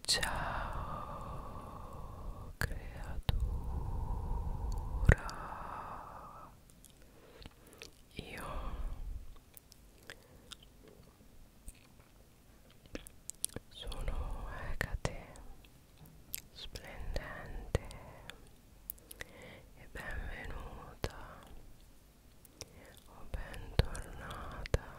Ciao creatura, io sono Ecate, splendente e benvenuta o bentornata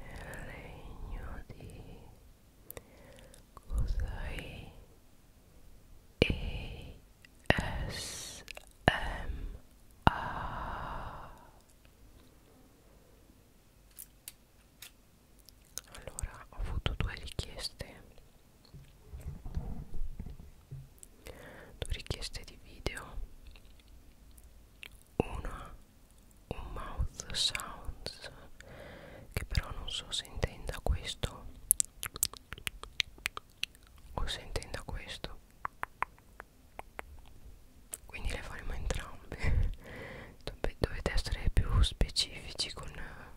nel regno di Cosai ESMA allora ho avuto due richieste due richieste di video una un mouth sounds che però non so se intenda questo o se intenda questo quindi le faremo entrambe dovete essere più specifici con eh,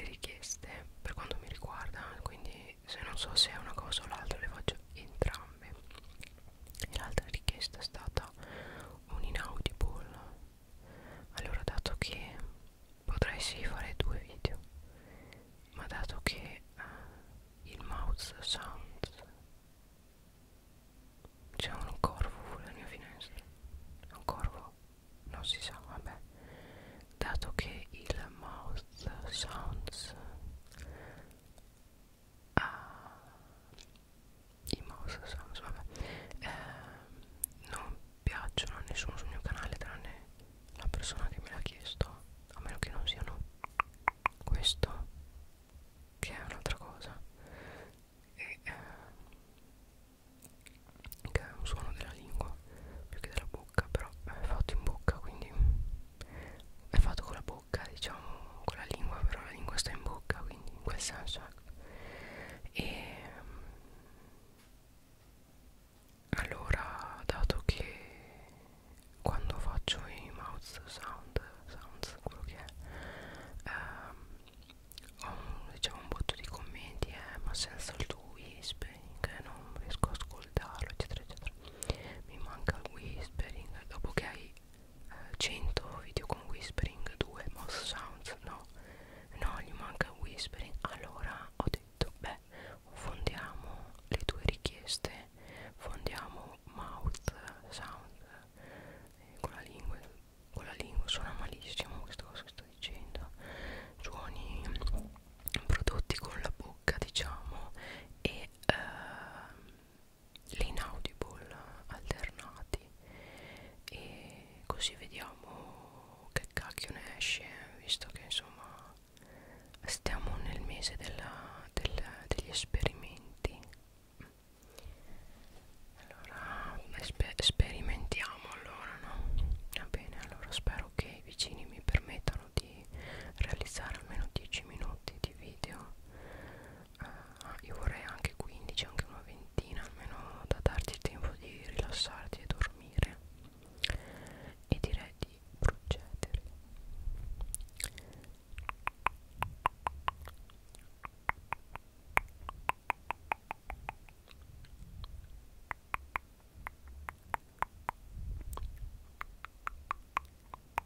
le richieste per quanto mi riguarda quindi se non so se è una cosa o l'altra le faccio entrambe e l'altra richiesta è stata un inaudible allora dato che potrei sì fare due video ma dato che uh, il mouse sound c'è un corvo sulla mia finestra un corvo non si sa vabbè dato che il mouse sounds a ah, i mouse Samsung, vabbè eh, non piacciono a nessuno sul mio canale tranne la persona che me l'ha chiesto a meno che non siano questo che è un'altra cosa e, eh, che è un suono della lingua più che della bocca però è fatto in bocca quindi è fatto con la bocca bocca diciamo con la lingua però la lingua sta in bocca quindi in quel senso ecco. e mm, allora dato che quando faccio i mouth sound sounds quello che è ehm, ho un, diciamo un botto di commenti eh, ma senza il tuo whispering non riesco a ascoltarlo eccetera eccetera mi manca il whispering dopo che hai eh, 100 video con whispering 2 mouse sounds no no gli manca whispering allora ho detto beh fondiamo le tue richieste fondiamo mouth sound eh, con la lingua con la lingua suona malissimo questa cosa che sto dicendo suoni prodotti con la bocca diciamo e ehm, l'inaudible alternati e così vediamo che cacchio ne esce visto che insomma stiamo nel mese della, della, degli esperimenti allora esper sperimentiamo allora no va bene allora spero che i vicini mi permettano di di realizzare almeno 10 minuti di video uh, io vorrei anche 15 anche una ventina almeno da darti il tempo di rilassarti e dormire e direi di procedere ok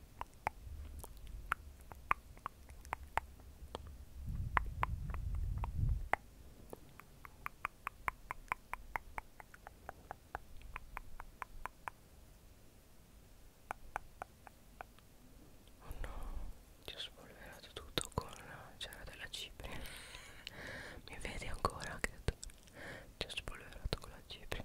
Oh no, ti ho spolverato tutto con la cera della cipria Mi vedi ancora che ti ho spolverato con la cipria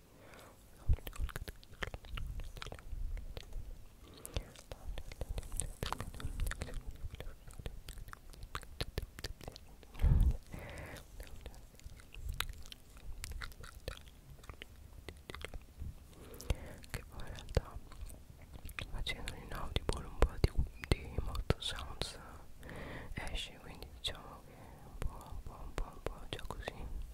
che poi in realtà facendo in audible un po' di, di moto sounds esce quindi diciamo che un po' un po' un po' un po' già così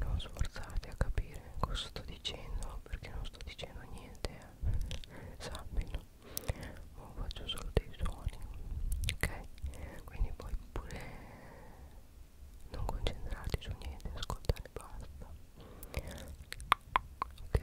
non sforzate a capire cosa sto dicendo perché non sto dicendo niente eh. sappilo oh, faccio solo dei suoni ok quindi puoi pure non concentrarti su niente ascoltare basta ok ok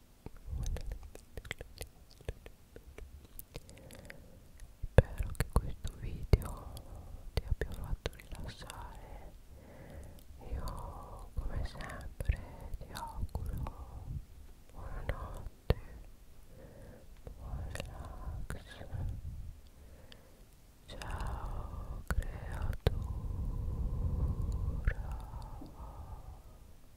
Spero che questo video ti abbia fatto rilassare. Io come sempre ti auguro buonanotte, buon relax. Ciao creatura.